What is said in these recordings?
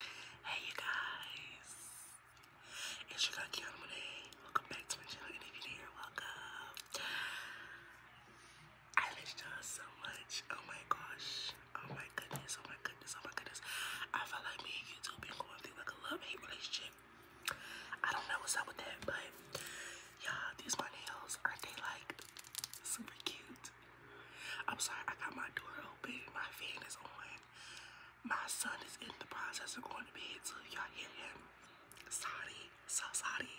Hey you guys, it's your girl Kiana Monet. Welcome back to my channel, and if you're here, welcome. I miss y'all so much. Oh my gosh. Oh my goodness. Oh my goodness. Oh my goodness. I feel like me and YouTube been going through like a love-hate relationship. I don't know what's up with that, but y'all, these my nails. Aren't they like super cute? I'm sorry, I got my door open. My fan is on. My son is in the process of going to bed, so y'all hear him. Sorry, so sorry.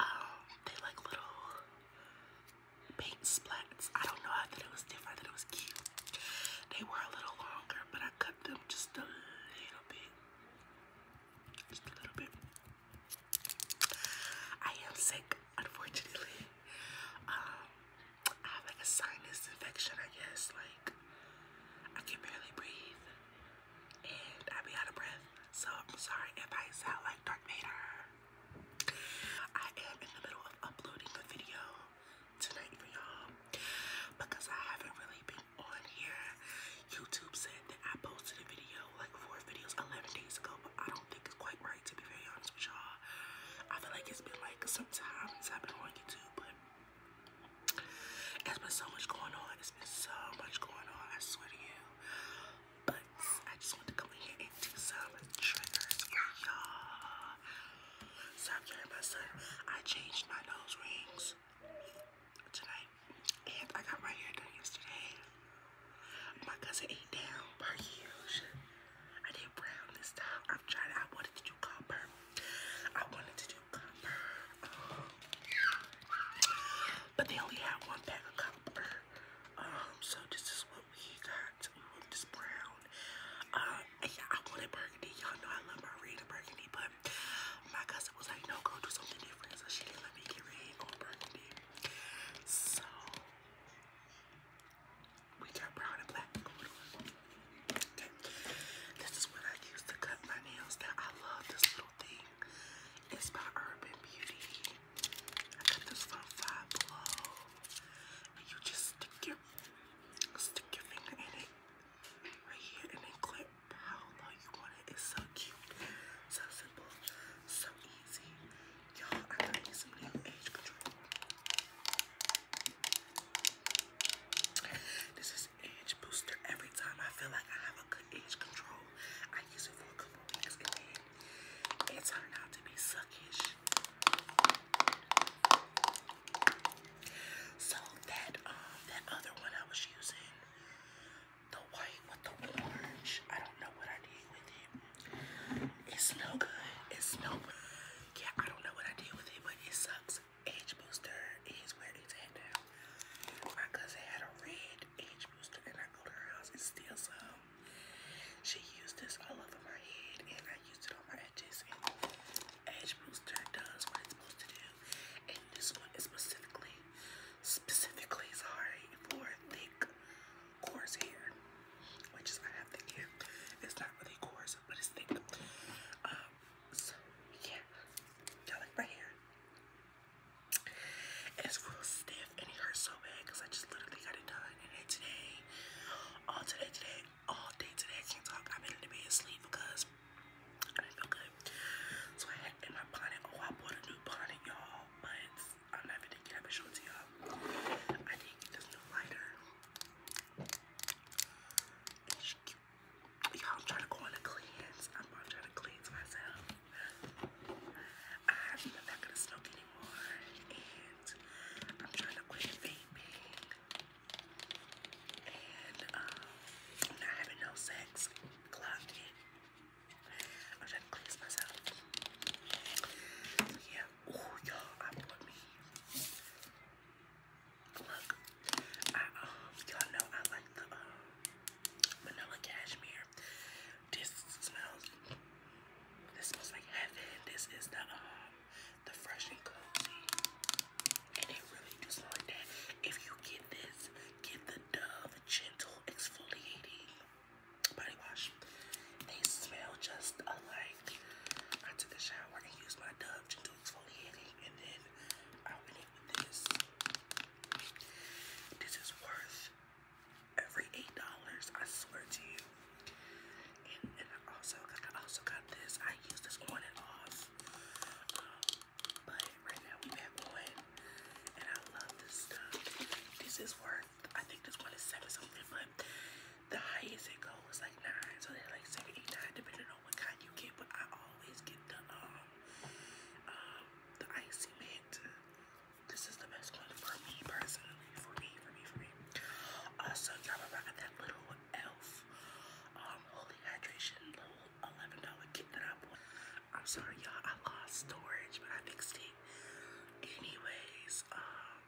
Um, they like little paint splats. I don't know. I thought it was different. I thought it was cute. They were a little longer, but I cut them just a little bit. Just a little bit. I am sick, unfortunately. Um, I have like a sinus infection, I guess. Like, I can barely breathe and I be out of breath. So, I'm sorry if I sound like Darth Vader. I am in the middle of uploading a video tonight for y'all because I haven't really been on here. YouTube said that I posted a video like four videos 11 days ago, but I don't think it's quite right to be very honest with y'all. I feel like it's been like some I've been on YouTube, but there's been so much going on. There's been so much going on, I swear to you. But I just want to come in here and do some triggers for y'all. So I'm hearing my son. I changed my nose rings tonight. And I got my hair done yesterday. My cousin ate down per I did brown this time. I'm trying to, I wanted to do copper. I wanted to do copper. Um, but they only had one pack of copper. Um, so this is what we got. We want this brown. Uh, I wanted burgundy. Y'all know I love my and burgundy, but my cousin was like, no, go do something different. So she let me get red or burgundy. So we got brown and black going on. Okay. This is what I use to cut my nails. Now I love this little thing. It's by Urban Beauty. I got this from Five And you just stick your stick your finger in it right here and then clip how long you want it. It's so cute, so simple, so easy. Y'all, I gotta get some new control. This is age booster. Every time I feel like I have a good age control, I use it for a couple weeks and then it turned out to be suckish. So that um that other one I was using, the white with the orange, I don't know what I did with it. It's no good. It's no good. Yeah, I don't know what I did with it, but it sucks. Edge booster is where it's at now. My cousin had a red age booster, and I go to her house and steal some. She used this all over my head, and I used it on my edges. And booster does what it's supposed to do, and this one is specifically, specifically sorry for thick coarse hair, which is I have thick hair. It's not really coarse, but it's thick. Um, yeah, like my hair? It's real stiff and it hurts so bad because I just literally got it done. And then today, all today, today, all day today, can't talk. I've been in the asleep because I didn't feel good. So I had in my bonnet. Oh, I bought a new bonnet, y'all, I'm not gonna get up and show I did get this new lighter. I'm trying to go on a cleanse. I'm, trying to cleanse myself. I'm not gonna smoke anymore, and I'm trying to quit vaping. And I'm um, not having no sex. Clocked it. I'm trying cleanse myself. yeah. Oh y'all, I bought me. Look, I um y'all know I like the um vanilla cashmere. This smells this smells like heaven. This is the um the fresh and cozy. And it really do smell like that. If you get this, get the Dove Gentle Exfoliating body wash. They smell just alike. I took a shower and used my Dove to do and then I went in with this. This is worth every eight dollars. I swear to you. And, and I also got, I also got this. I use this on and off. Um, but right now we have on and I love this stuff. This is worth, I think this one is seven something, but the highest it goes is like nine, so they're like seven, eight, nine, depending on what kind you get. But I always get the um, um, the icy mint. This is the best one for me personally, for me, for me, for me. Also, y'all remember that little elf um holy hydration little eleven dollar kit that I bought. I'm sorry, y'all. I lost storage, but I fixed it. Anyways, um,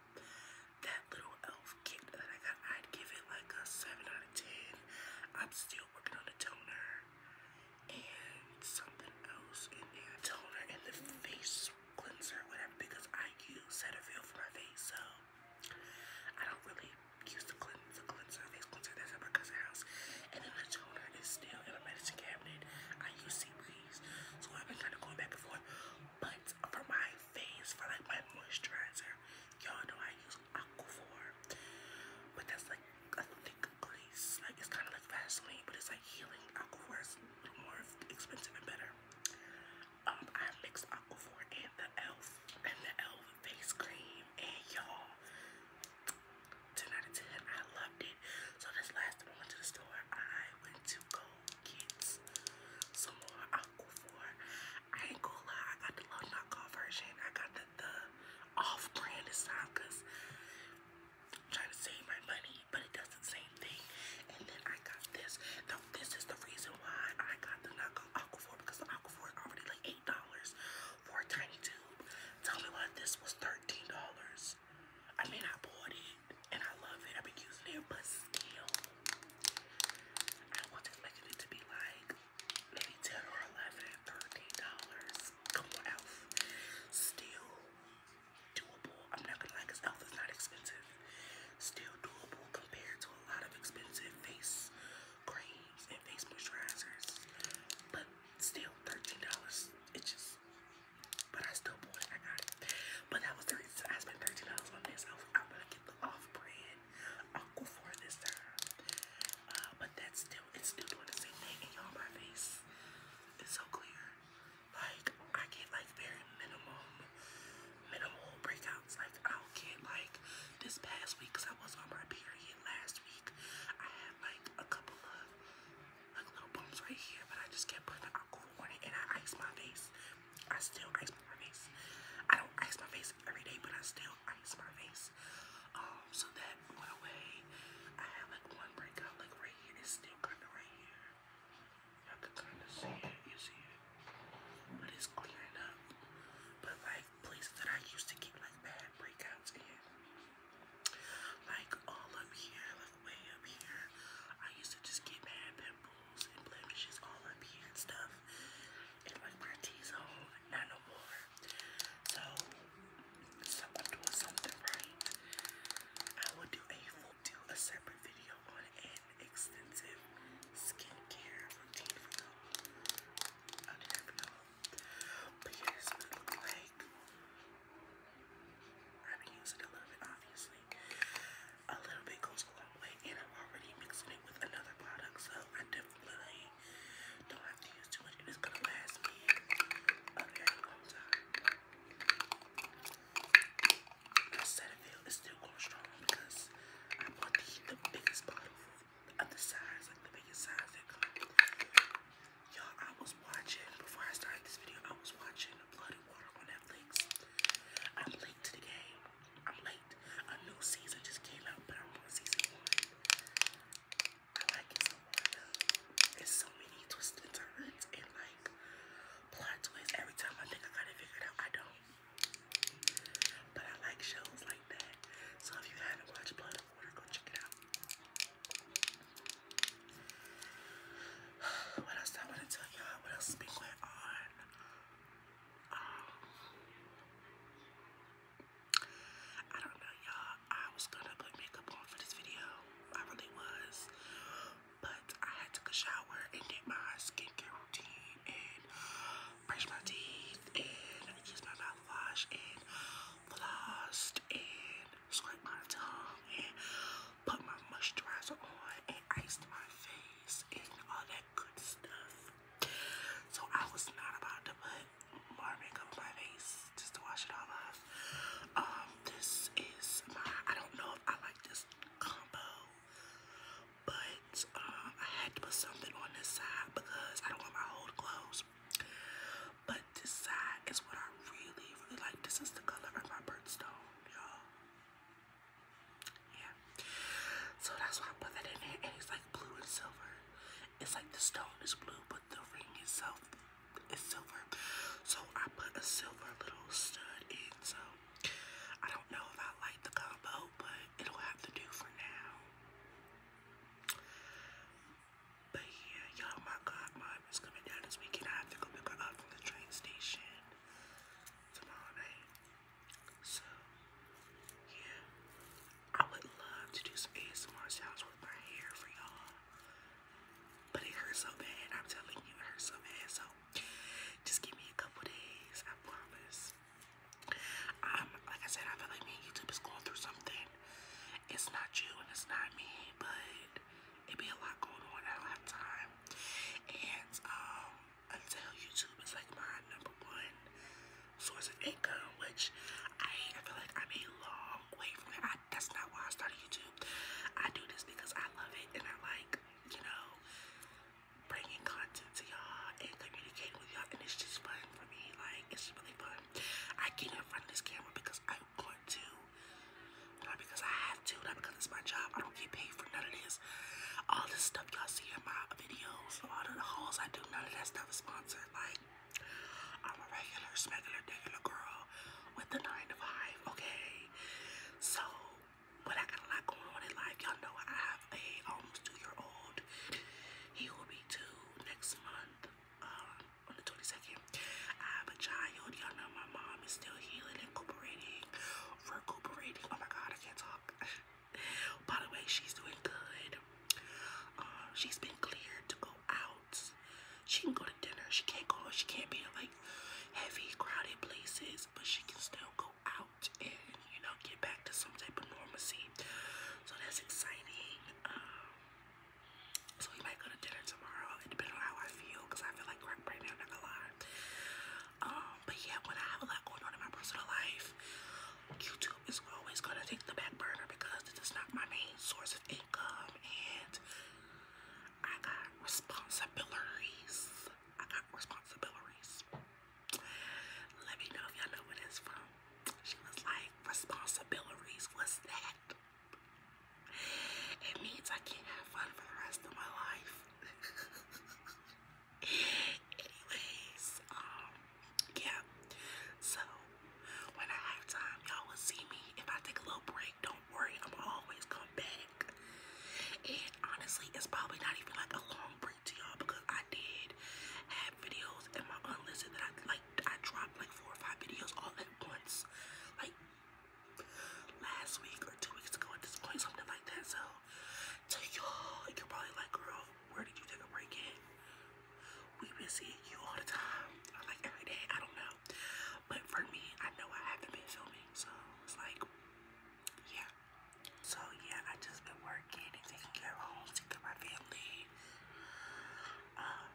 that little elf kit that I got, I'd give it like a 7 out of 10. I'm still working on a toner and something else in there. Toner and the face cleanser, whatever, because I use Cetaphil for my face, so I don't really use the, clean, the cleanser, face cleanser that's at my And the toner is still in my medicine cabinet. I use sea breeze. So I've been kind of going back and forth. But for my face, for like my moisturizer, y'all know I use Aquaphor. But that's like a thick grease. Like it's kind of like Vaseline, but it's like healing. Aquaphor is more expensive and better. Um, I mixed Aquaphor and the Elf and the Elf face cream, and y'all, 10 out of 10. I loved it. So this last time I went to the store, I went to go get some more Aquaphor. I ain't gonna lie, I got the low knockoff version. I got the, the off-brand this time I'm trying to save my money, but it does the same thing. And then I got this. Now this is the reason why I got the knockoff Aquaphor because the Aquaphor already like $8 for a tiny tube. Tell me what this was $13. I mean, I bought it and I love it. I've been using it, but still, I wasn't expecting to be like maybe 10 or 11, dollars Come on, Elf. Still doable. I'm not gonna lie, because Elf is not expensive. Still doable compared to a lot of expensive face creams and face moisturizers. But still $13. It just, but I still bought it. I got it. But that was the reason I spent $13 on this. I was like, I'm going to get the off brand Uncle for this time. Uh, but that's still, it's still doing the same thing. And y'all, my face is so clear. Like, I get like very minimum, minimal breakouts. Like, I'll get like this past week because I was on my period last week. I like a couple of like little bumps right here, but I just kept putting alcohol on it and I iced my face. I still ice my face. I don't ice my face every day, but I still ice my face. Um, so that went away. I had like one breakout like right here. It's still kind of right here. Y'all can kind of see it. You see it. But it's clearing up. But like places that I used to get like bad breakouts and Like all up here, like way up here. I used to just get bad pimples and blemishes all up here and stuff. And like my T-zone, not no more. So, so I'm doing something right. I will do a full, do a separate video on an extensive skincare routine for y'all. I'll do y'all. I've been using a little bit obviously. A little bit goes a long way and I'm already mixing it with another product so I definitely don't have to use too much and it's gonna last me a long time. I said it feels it's still going strong because I bought the, the biggest bottle Y'all, I was watching, before I started this video, I was watching Blood and Water on Netflix. I'm late to the game. I'm late. A new season just came out, but I'm on season one. I like it There's so many twists and turns and like plot twists. Every time I think I got it figured out, I don't. But I like shows like so if you haven't watched Blood and Water, go check it out. What else I want to tell y'all? What else has been going on? Um, I don't know, y'all. I was gonna put makeup on for this video. I really was. But I had took a shower and did my skincare routine and brush my teeth and use my mouthwash and flossed and scrape my tongue and put my moisturizer on and iced my face and all that good stuff. So I was not about to put more on my face just to wash it all off. Um, this is my, I don't know if I like this combo, but um, I had to put something on this side because I don't want my whole clothes but this side is what I really, really like. This is the color of my birthstone, y'all. Yeah. So that's why I put that in there. And it's like blue and silver. It's like the stone is blue, but the ring itself is silver. So I put a silver little stud in. So I don't know if I like the combo, but it'll have to do for now. But yeah, y'all, my god, mom is coming down this weekend. I have to go pick her up from the train station tomorrow night. So, yeah, I would love to do some ASMR sounds with my hair for y'all. But it hurts so bad, I'm telling you, it hurts so bad. So, just give me a couple days, I promise. Um, like I said, I feel like me YouTube is going through something. It's not you and it's not me, but it be a lot going on at a time. And um, until YouTube is like my number one source of income, which I, I feel like I'm a long way from it. that's not why I started YouTube. I do this because I love it and I like, you know, bringing content to y'all and communicate with y'all, and it's just fun for me. Like, it's really fun. I get in front of this camera because I am going to, not because I have to, not because it's my job. I don't get paid for none of this. All this stuff y'all see in my videos, all the hauls I do, none of that stuff is sponsored. Like, I'm a regular, smegular, regular girl with the nine to five, okay? So, but I got a lot going on in life. Y'all know I have a almost um, two year old he will be due next month um, on the 22nd. I have a child. Y'all know my mom is still healing recuperating. Recuperating. Oh my God, I can't talk. By the way, she's doing good. Um, she's been cleared to go out. She can go to dinner. She can't go. She can't be in like heavy, crowded places, but she can still go out and, you know, get back to some type of normalcy. So that's exciting. Um, so we might go to dinner tomorrow. It on how I feel because I feel like crap right now, not going um, but yeah, when I have a lot going on in my personal life, YouTube is always gonna take the back burner because this not my main source of income and I got responsibilities. I got responsibilities. Let me know if y'all know where that's from. She was like, responsibilities, what's that? It means I can't have fun for the rest of my life. Anyways, um, yeah. So when I have time, y'all will see me. If I take a little break, don't worry, I'm always come back. And honestly, it's probably not even like a long gonna y'all because I did have videos in my unlisted that I like I dropped like four or five videos all at once. Like last week or two weeks ago at this point, something like that. So to y'all, you're probably like, girl, where did you take a break at? We've been seeing you all the time. Like every day, I don't know. But for me, I know I haven't been filming, so it's like yeah. So yeah, I just been working and taking care of home, taking care of my family. Um,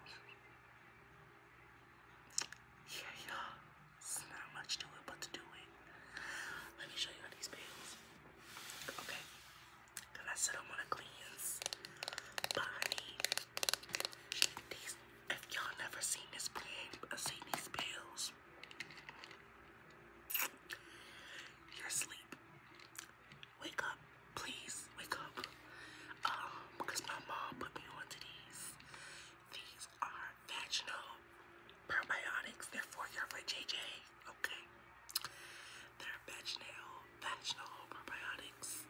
yeah, y'all. It's not much to it, but to do it. Let me show you all these bills. Okay, cause I said I'm gonna cleanse, but these. If y'all never seen this plan, uh, seen these bills. You're asleep. Wake up, please. Wake up. Um, because my mom put me onto these. These are vaginal probiotics. They're for your JJ. Okay. They're vaginal, vaginal probiotics.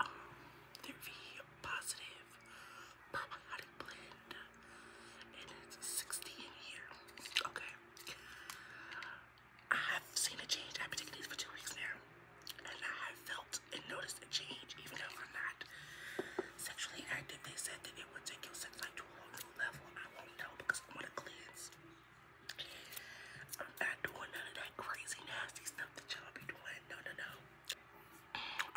Um, they're V positive probiotic blend and it's 16 years. Okay. I have seen a change. I've been taking these for two weeks now. And I have felt and noticed a change, even though I'm not sexually active. They said that it would take your sex life to a whole new level. I won't know because I'm on a cleanse. I'm not doing none of that crazy, nasty stuff that y'all be doing. No, no, no.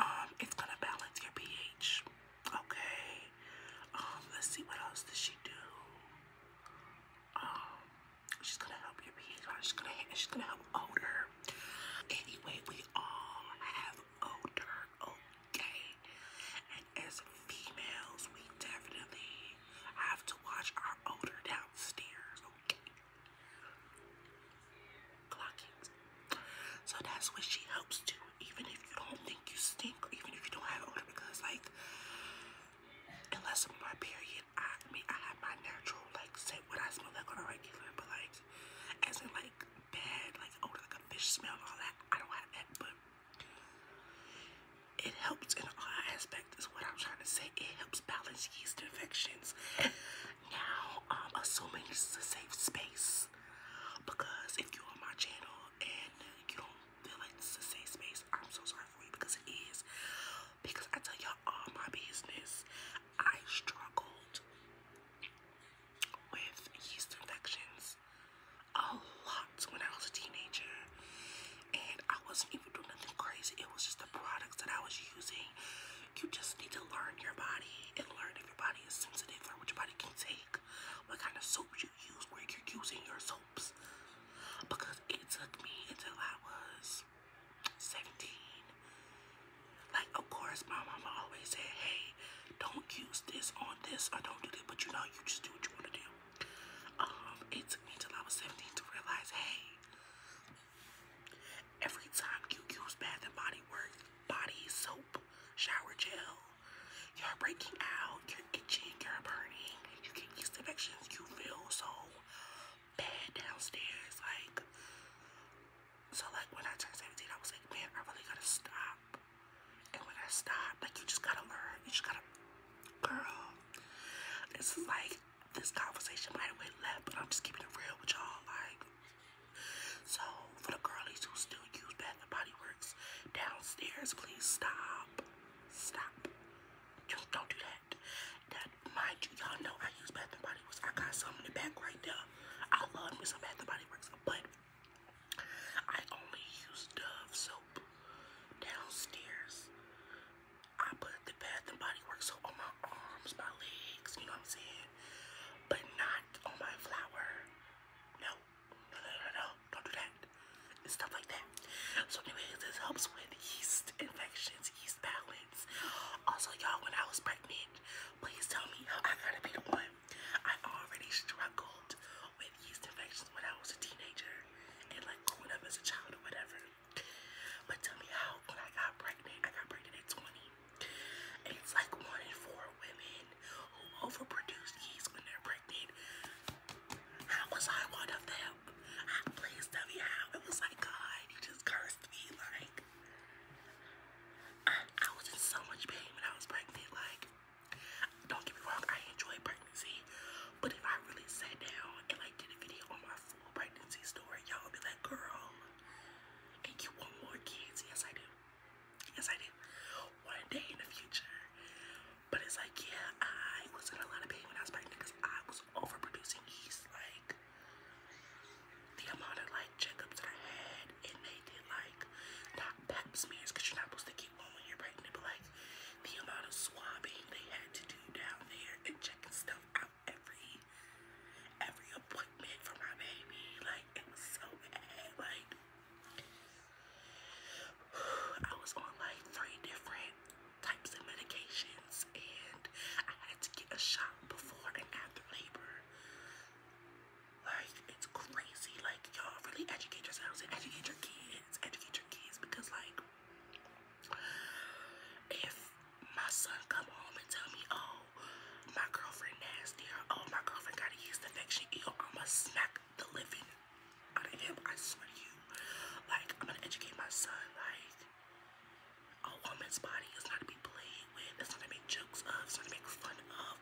Um, it's gonna balance your pH. Okay. Um, let's see what else does she do. Um, she's gonna help your PHR. She's gonna she's gonna help odor. Anyway, we all have odor, okay. And as females, we definitely have to watch our odor downstairs, okay. Clockings, so that's what she helps to. even if you don't think you stink, or even if you don't have odor, because like, unless I'm my period, I, mean, I have my natural like, say what I smell like on a regular, but like, as in like bad, like odor, like a fish smell, all that, I don't have that, but it helps in all aspects. Is what I'm trying to say. It helps balance yeast infections. now, I'm um, assuming this is a safe space. Because if you're on my channel and you don't feel like this is a safe space, I'm so sorry for you because it is. Because I tell y'all all my business, I struggled with yeast infections a lot when I was a teenager. And I wasn't even doing nothing crazy. It was just the products that I was using. You just need to learn your body and learn if your body is sensitive, or what your body can take what kind of soap you use, where you're using your soaps. Because it took me until I was 17. Like, of course, my mama always said, hey, don't use this on this or don't do this, but you know, you just do what you want to do. Um, it took me till I was 17 to realize, hey, every time you use Bath Body Works, body soap, shower gel. You're breaking out, you're itching, you're burning, you get yeast infections, you feel so bad downstairs. Like, so like when I turned 17, I was like, man, I really gotta stop. And when I stopped, like, you just gotta learn, you just gotta, girl. This like, this conversation might have went left, but I'm just keeping it real with y'all. Like, so, for the girlies who still use Bath and Body Works downstairs, please stop. Stop. don't do that. That, mind you, y'all know I use Bath and Body Works. I got some in the back right there. I love me some Bath and Body Works, but I only use Dove soap downstairs. I put the Bath and Body Works soap on my arms, my legs, you know what I'm saying? but not on my flower. no, no, no, no, don't do that. And stuff like that. So, anyways, this helps with yeast infections, yeast balance. Also, y'all, when I was pregnant, please tell me how I gotta be the one. I already struggled with yeast infections when I was a teenager and like growing up as a child or whatever. But tell me how when I got pregnant, I got pregnant at 20. It's like one in four women who overproduce kids when they're pregnant. How was I one of them? Please tell me how. It was like God, you just cursed me. Like I, was in so much pain when I was pregnant. Like don't get me wrong, I enjoy pregnancy, but if I really sat down and like did a video on my full pregnancy story, y'all would be like, girl, and you want more kids? Yes, I do. Yes, I did. One day in the future. But it's like, yeah, I was in a lot of pain when I was pregnant because I was overproducing He's Like, the amount of like checkups that I had, and they did like not pap smears because you're not supposed to keep one when you're pregnant, but like the amount of swabbing they had to do down there and checking stuff out every every appointment for my baby. Like, it was so bad. Like, I was on like three different types of medications, and I had to get a shot before and after labor. Like, it's crazy. Like, y'all really educate yourselves and educate your kids. Educate your kids because, like, if my son come home and tell me, oh, my girlfriend nasty or oh, my girlfriend got a yeast infection, yo, I'ma smack the living out of him. I swear to you. Like, I'm gonna educate my son. Like, a woman's body is not to be played with. It's not to be jokes of. It's not to make fun of.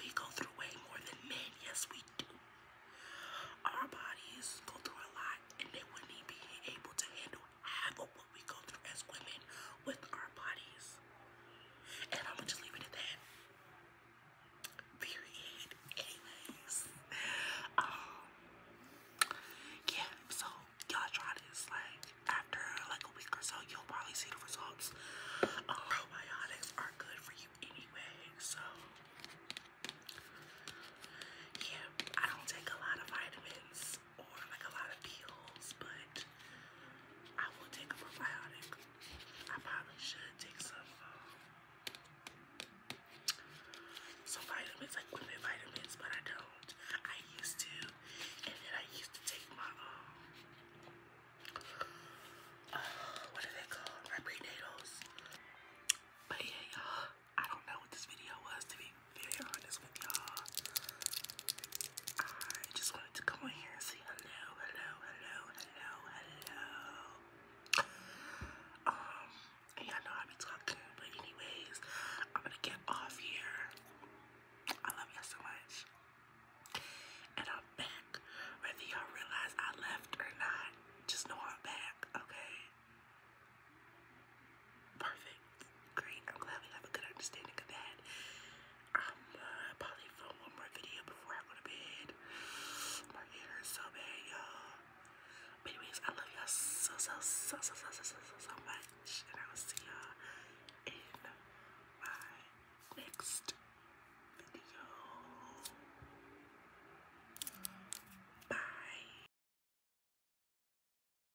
We go through way more than men. Yes, we do. Our bodies go through a lot, and they wouldn't be able to handle too high what we go through as women with our bodies. And I'm gonna just leave it at that. Period. Anyways. Um yeah, so y'all try this. Like after like a week or so, you'll probably see the results. Um, probiotics are good for you anyway, so yeah, I don't take a lot of vitamins or like a lot of pills, but I will take a probiotic. I probably should take some um, some vitamins, like women vitamins, but I don't. I used to, and then I used to take my um, uh, what are they called? My prenatals. But yeah, y'all, I don't know what this video was to be being very honest with y'all. I just wanted to come on here and say hello, hello, hello, hello, hello. Um, y'all know I be talking, but anyways, I'm gonna get off here. I love y'all so much. And I'm back. Whether y'all realize I left or not, just know I'm back, okay? Perfect. Great. I'm glad we have a good understanding of that. I'm uh, probably film one more video before I go to bed. My hair is so bad, y'all. But anyways, I love y'all so, so, so, so, so, so, so, so much. And I will see y'all in my next video. Bye.